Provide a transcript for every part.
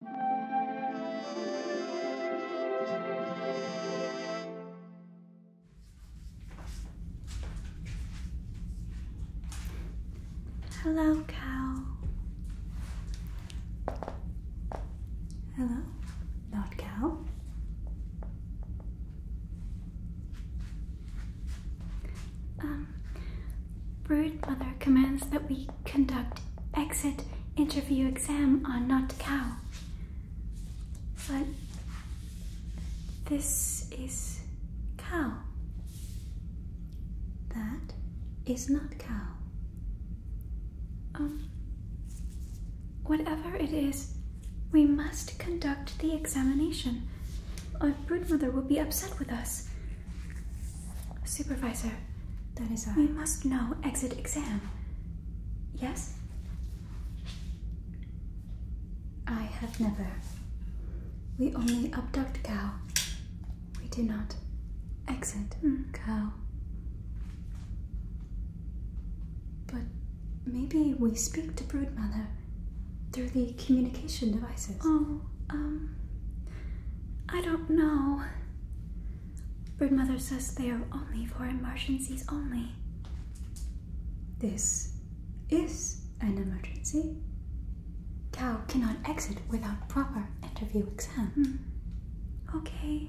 Hello, cow. Hello, not cow. Um, mother commands that we conduct exit interview exam on not cow. But this is cow. That is not cow. Um, whatever it is, we must conduct the examination. Our broodmother will be upset with us. Supervisor, that is I. Uh, we must know exit exam. Yes? I have never. We only abduct cow. We do not exit mm. cow. But maybe we speak to brood mother through the communication devices. Oh, um, I don't know. Bird mother says they are only for emergencies only. This is an emergency. Cow cannot exit without proper interview exam. Hmm. Okay.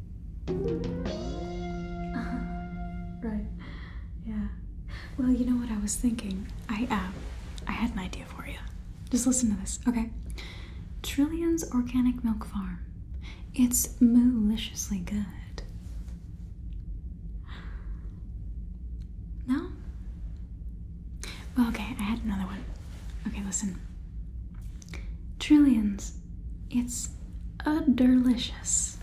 uh-huh. right. Yeah. Well, you know what I was thinking? I, uh, I had an idea for you. Just listen to this, okay? Trillions Organic Milk Farm. It's maliciously good. No? Well, okay, I had another one. Okay, listen. Trillions. It's a delicious.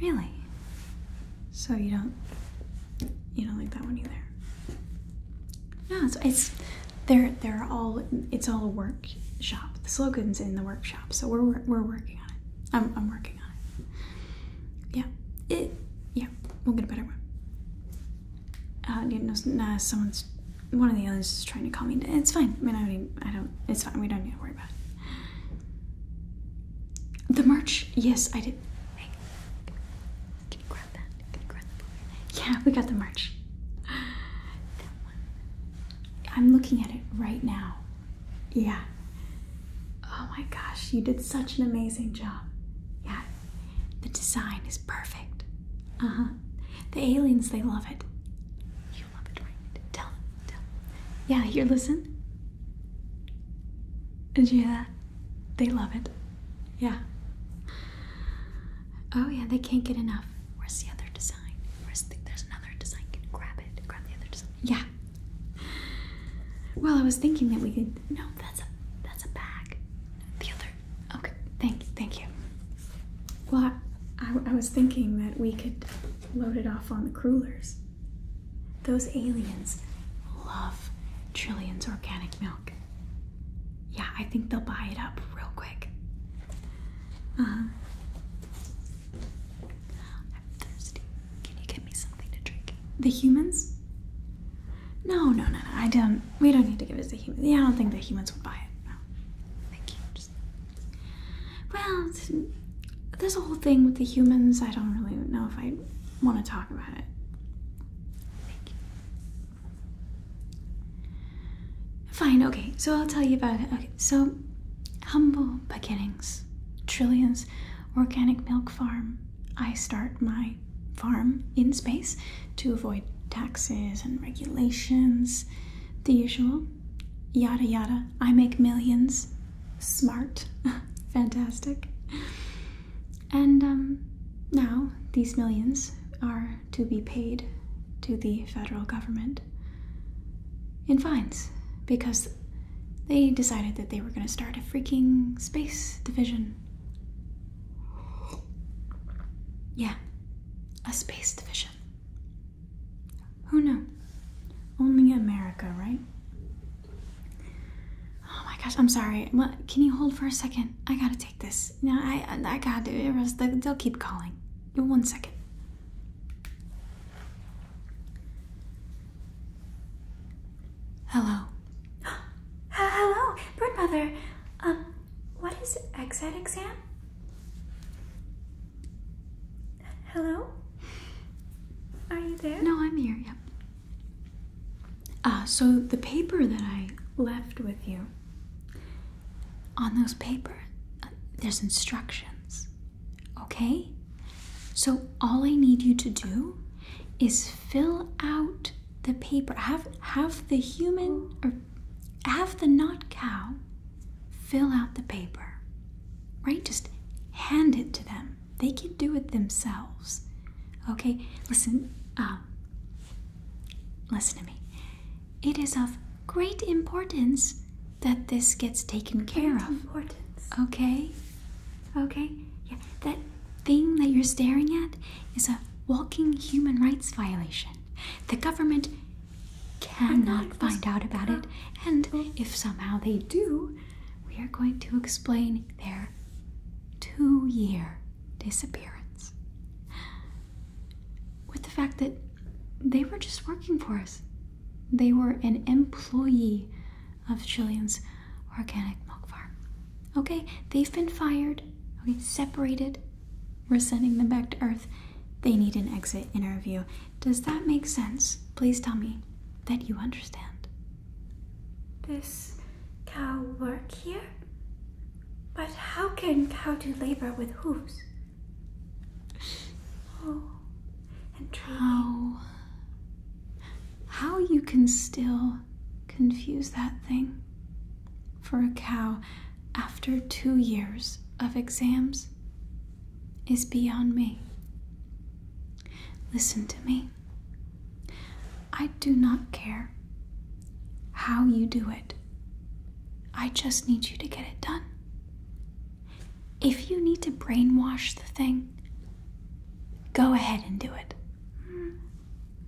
Really? So you don't you don't like that one either. No, it's, they're they're all it's all a workshop. The slogan's in the workshop, so we're we're working on it. I'm I'm working on it. Yeah, it yeah. We'll get a better one uh, you know, nah, someone's one of the aliens is trying to call me. It's fine. I mean, I don't. It's fine. We don't need to worry about it. The merch. Yes, I did. can you grab that? Yeah, we got the merch. I'm looking at it right now. Yeah. Oh my gosh, you did such an amazing job. Yeah, the design is perfect. Uh huh. The aliens, they love it. You love it, right? Tell tell Yeah, here, listen. Did you hear that? They love it. Yeah. Oh, yeah, they can't get enough. Where's the other design? Where's the, there's another design. grab it. Grab the other design. Yeah. Well, I was thinking that we could. No, that's a that's a bag. The other Okay, thank you, thank you. Well, I, was thinking that we could load it off on the crullers. Those aliens love Trillions organic milk. Yeah, I think they'll buy it up real quick. Uh huh. I'm thirsty. Can you get me something to drink? The humans? No, no, no, no. I don't. We don't need to give it to humans. Yeah, I don't think the humans would buy it. No. Thank you. Just... Well, there's a whole thing with the humans. I don't really know if I want to talk about it. Thank you. Fine, okay. So I'll tell you about it. Okay, so humble beginnings. Trillions organic milk farm. I start my farm in space to avoid taxes and regulations, the usual. Yada yada. I make millions. Smart. Fantastic. And um, now these millions are to be paid to the federal government in fines because they decided that they were going to start a freaking space division yeah, a space division. Who knows? Only America, right? Oh my gosh, I'm sorry. can you hold for a second? I gotta take this. No, I, I, gotta do it. They'll keep calling. One second. Hello. Hello, bird mother. Um, what is exit exam? Hello? Are you there? No, I'm here, yep. Uh, so the paper that I left with you, on those paper, uh, there's instructions, okay? So all I need you to do is fill out the paper have have the human or have the not cow fill out the paper right just hand it to them they can do it themselves okay listen um, listen to me it is of great importance that this gets taken care of importance okay okay yeah that thing that you're staring at is a walking human rights violation. The government cannot find out about it, and if somehow they do, we are going to explain their two year disappearance with the fact that they were just working for us. They were an employee of Chilean's organic milk farm. Okay, they've been fired. Okay, separated. We're sending them back to Earth. They need an exit interview. Does that make sense? Please tell me that you understand. This cow work here? But how can cow do labor with hooves? Oh, and How, how you can still confuse that thing for a cow after two years of exams is beyond me. Listen to me. I do not care how you do it. I just need you to get it done. If you need to brainwash the thing, go ahead and do it.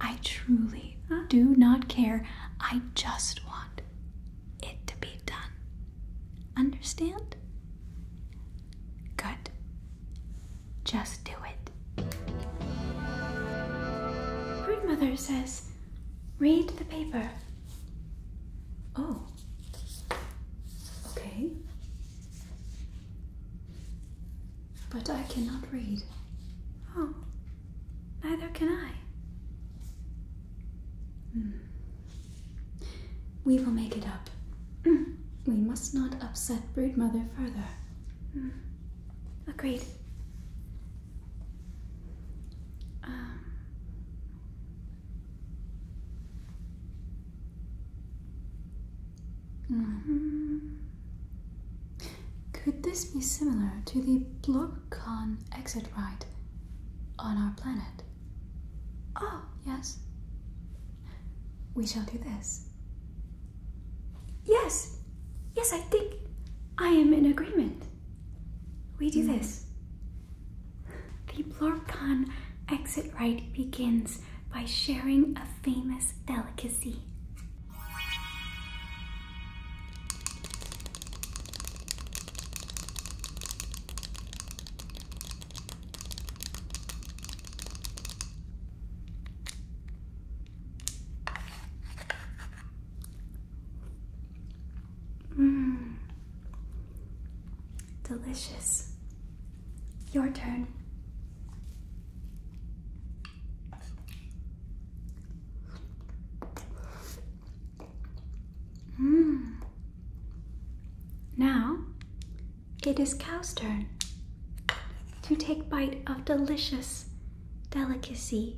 I truly do not care. I just want it to be done. Understand? Good. Just do it. Grandmother says, read the paper. Oh. Okay. But I cannot read. Oh, neither can I. Hmm. We will make it up. Hmm. We must not upset mother further. Hmm. Agreed. Um. Mm-hmm. Could this be similar to the Block exit ride on our planet? Oh, yes. We shall do this. Yes! Yes, I think I am in agreement. We do hmm. this. The Blorcon exit rite begins by sharing a famous delicacy Mmm, delicious. Your turn. Mm. Now, it is cow's turn to take bite of delicious delicacy.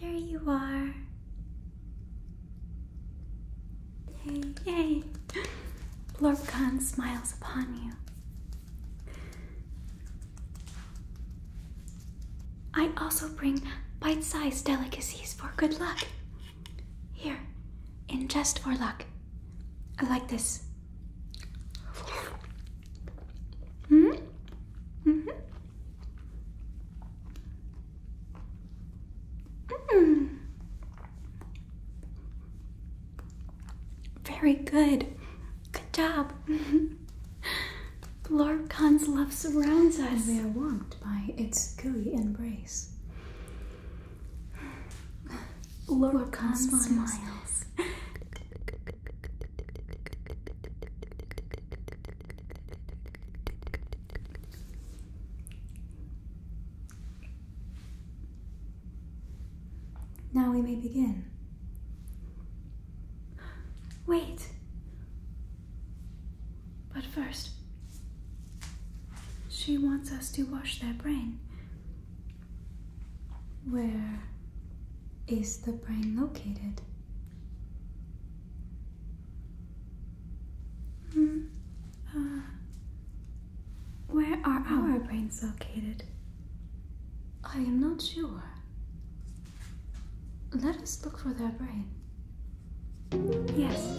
There you are. Yay! Lorcan smiles upon you. I also bring bite sized delicacies for good luck. Here, in jest for luck. I like this. Hmm? Mm-hmm. mm hmm very good. Good job. Lord Khan's love surrounds us. And we are warmed by its gooey embrace. Lord, Lord Khan, smiles. Now we may begin. Wait! But first, she wants us to wash their brain. Where is the brain located? Hmm. Uh, where are oh. our brains located? I am not sure. Let us look for their brain. Yes.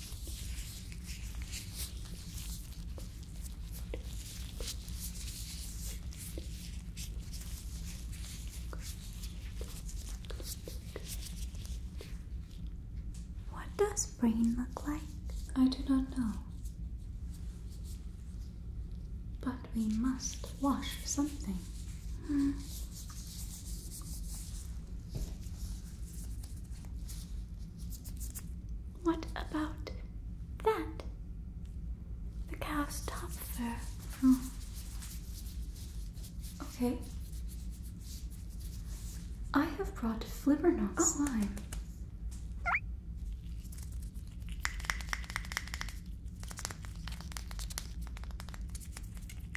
What does brain look like? I do not know. But we must wash something. Hmm. What about that? The cow's top fur. Oh. Okay. I have brought Flibbernot oh. slime.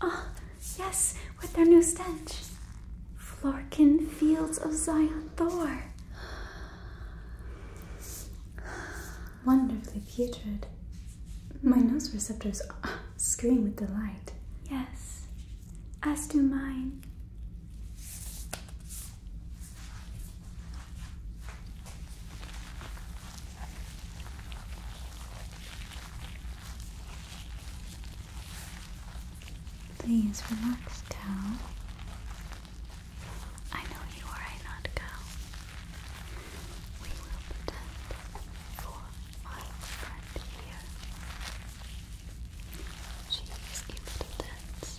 Ah, yes, with their new stench. Florkin Fields of Zion Thor. Wonderfully putrid. My nose receptors ah, scream with delight. Yes, as do mine. Please relax, cow. I know you are not cow. We will pretend for my friend here. She is a little dense.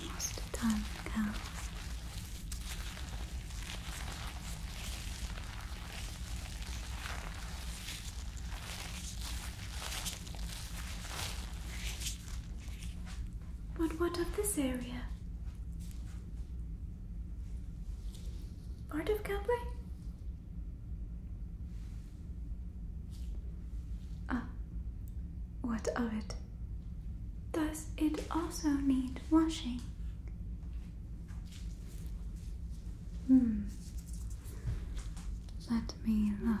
Almost done, But what of this area? Part of Calvary? Ah, what of it? Does it also need washing? Hmm. Let me look.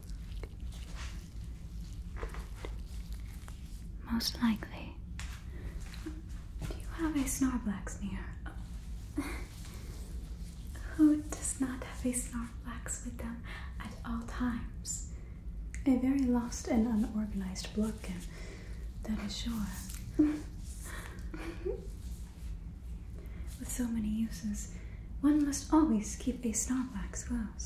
Most likely. Do you have a Snorblax smear? Oh. Who does not have a Snorblax with them at all times? A very lost and unorganized Blobkin, that is sure. With so many uses, one must always keep a Snorblax close.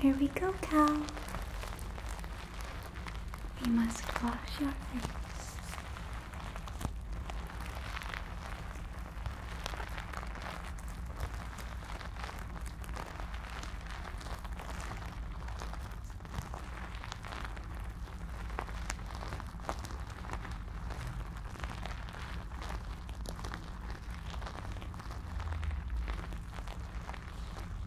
Here we go, cow. We must wash your face.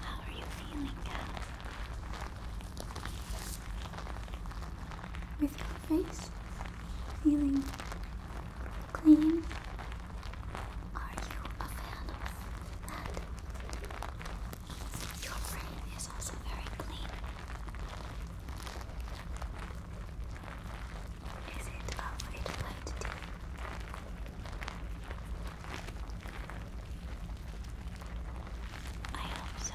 How are you feeling, Kat? With your face feeling clean? Are you a fan of that? Your brain is also very clean. Is it a way to I hope so.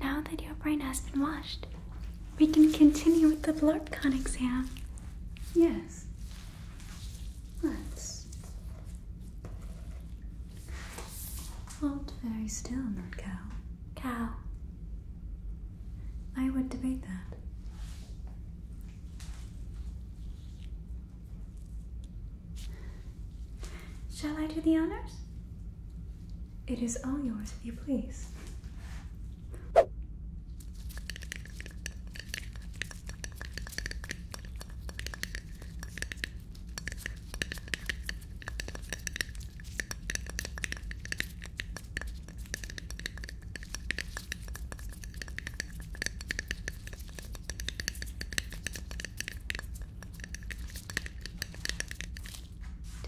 Now that your brain has been washed, we can continue with the BlurpCon exam. Yes. Let's hold very still, not cow. Cow. I would debate that. Shall I do the honors? It is all yours if you please.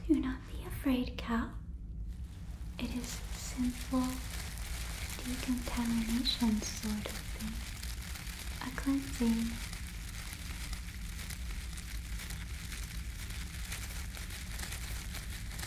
Do not be afraid, cow. It is simple decontamination sort of thing. A cleansing.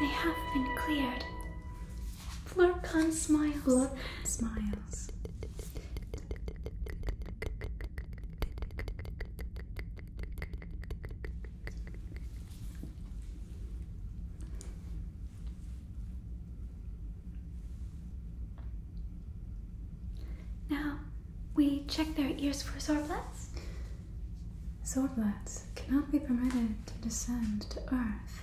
They have been cleared. Florcan smiles. Flor smiles. Now, we check their ears for sorblats. Sorblats cannot be permitted to descend to Earth.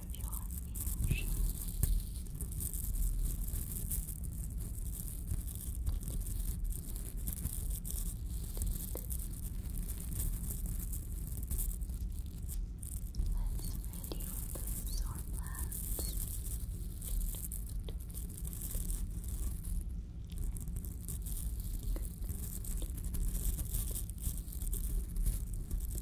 out of Let's reduce our plans. Good.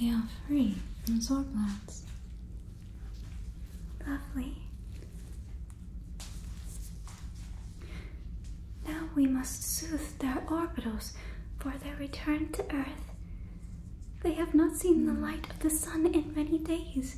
They are free from sore Lovely. Now we must soothe their orbitals for their return to Earth. They have not seen the light of the sun in many days.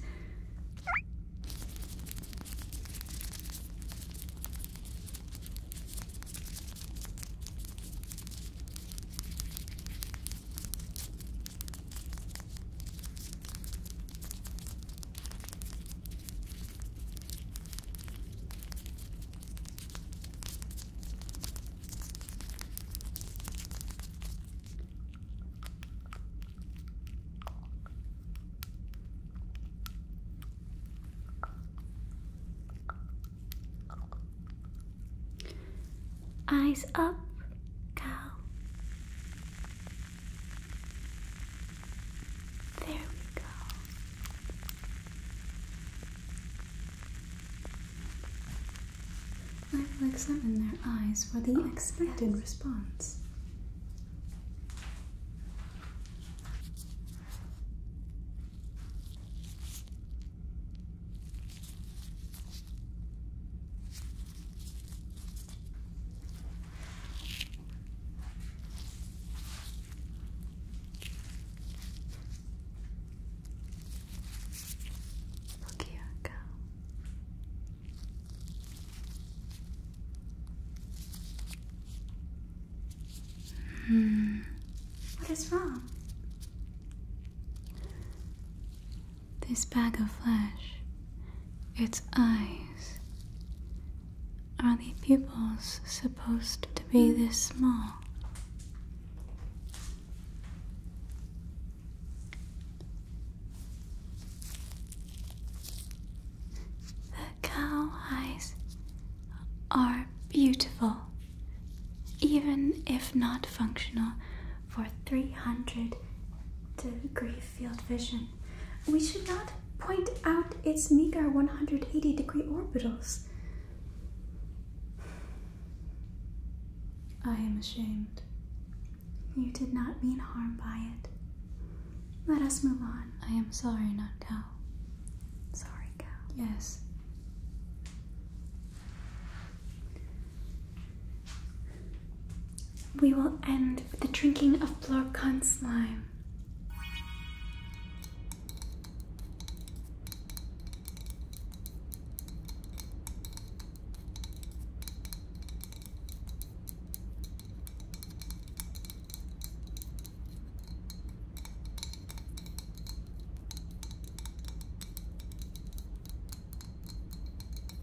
Eyes up, cow. There we go. I will examine their eyes for the expected response. Look here, go. Hmm. What is wrong? This bag of flesh, its I. Are these pupils supposed to be this small? The cow eyes are beautiful, even if not functional for 300 degree field vision. We should not point out its meager 180 degree orbitals. I am ashamed. You did not mean harm by it. Let us move on. I am sorry, not cow. Sorry, cow. Yes. We will end with the drinking of Blorkon slime.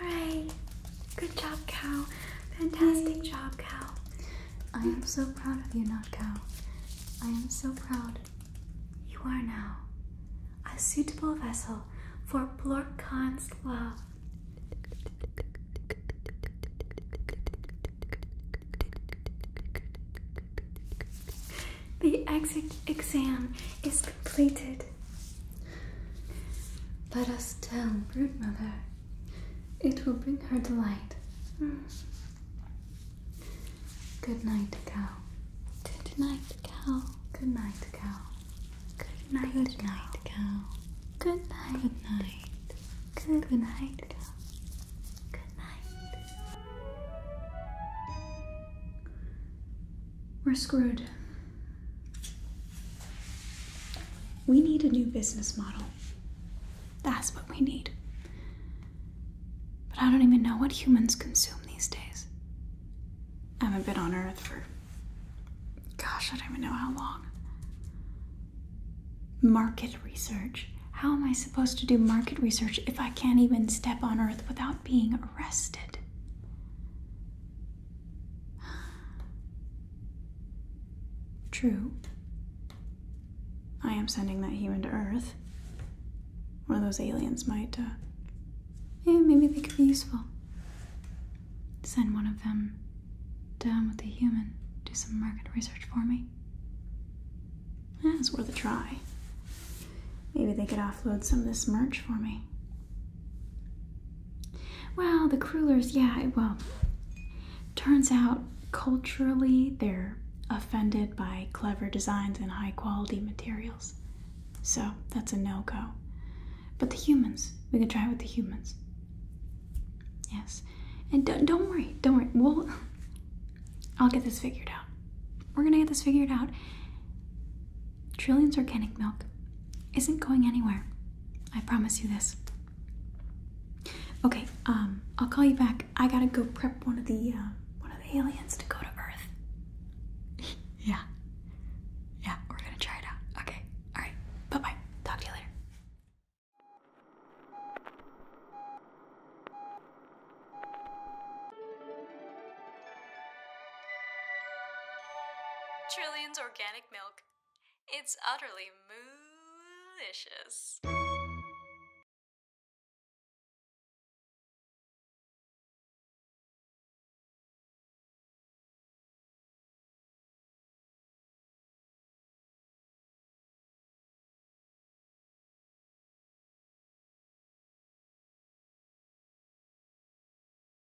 Alright. Good job, cow. Fantastic job, cow. I am so proud of you, not cow. I am so proud. You are now a suitable vessel for Blorkhan's love. The exit exam is completed. Let us tell Broodmother. It will bring her delight. Good night, cow. Good night, cow. Good night, cow. Good night, Good night Good night. Good night. Good, night, Good night. We're screwed. We need a new business model. That's what we need. But I don't even know what humans consume these days. I haven't been on Earth for, gosh, I don't even know how long. Market research. How am I supposed to do market research if I can't even step on Earth without being arrested? True. I am sending that human to Earth. One of those aliens might, uh, yeah, maybe they could be useful. Send one of them down with the human, do some market research for me. Yeah, it's worth a try. Maybe they could offload some of this merch for me. Well, the Krulers, yeah, well, turns out culturally they're offended by clever designs and high quality materials. So that's a no go. But the humans, we can try with the humans. Yes. And don't, don't worry, don't worry. We'll, I'll get this figured out. We're gonna get this figured out. Trillions organic milk isn't going anywhere. I promise you this. Okay, um, I'll call you back. I gotta go prep one of the uh, one of the aliens to go to Earth. yeah, yeah, we're gonna try it out. Okay, all right. Bye bye. Talk to you later. Trillions organic it's utterly delicious.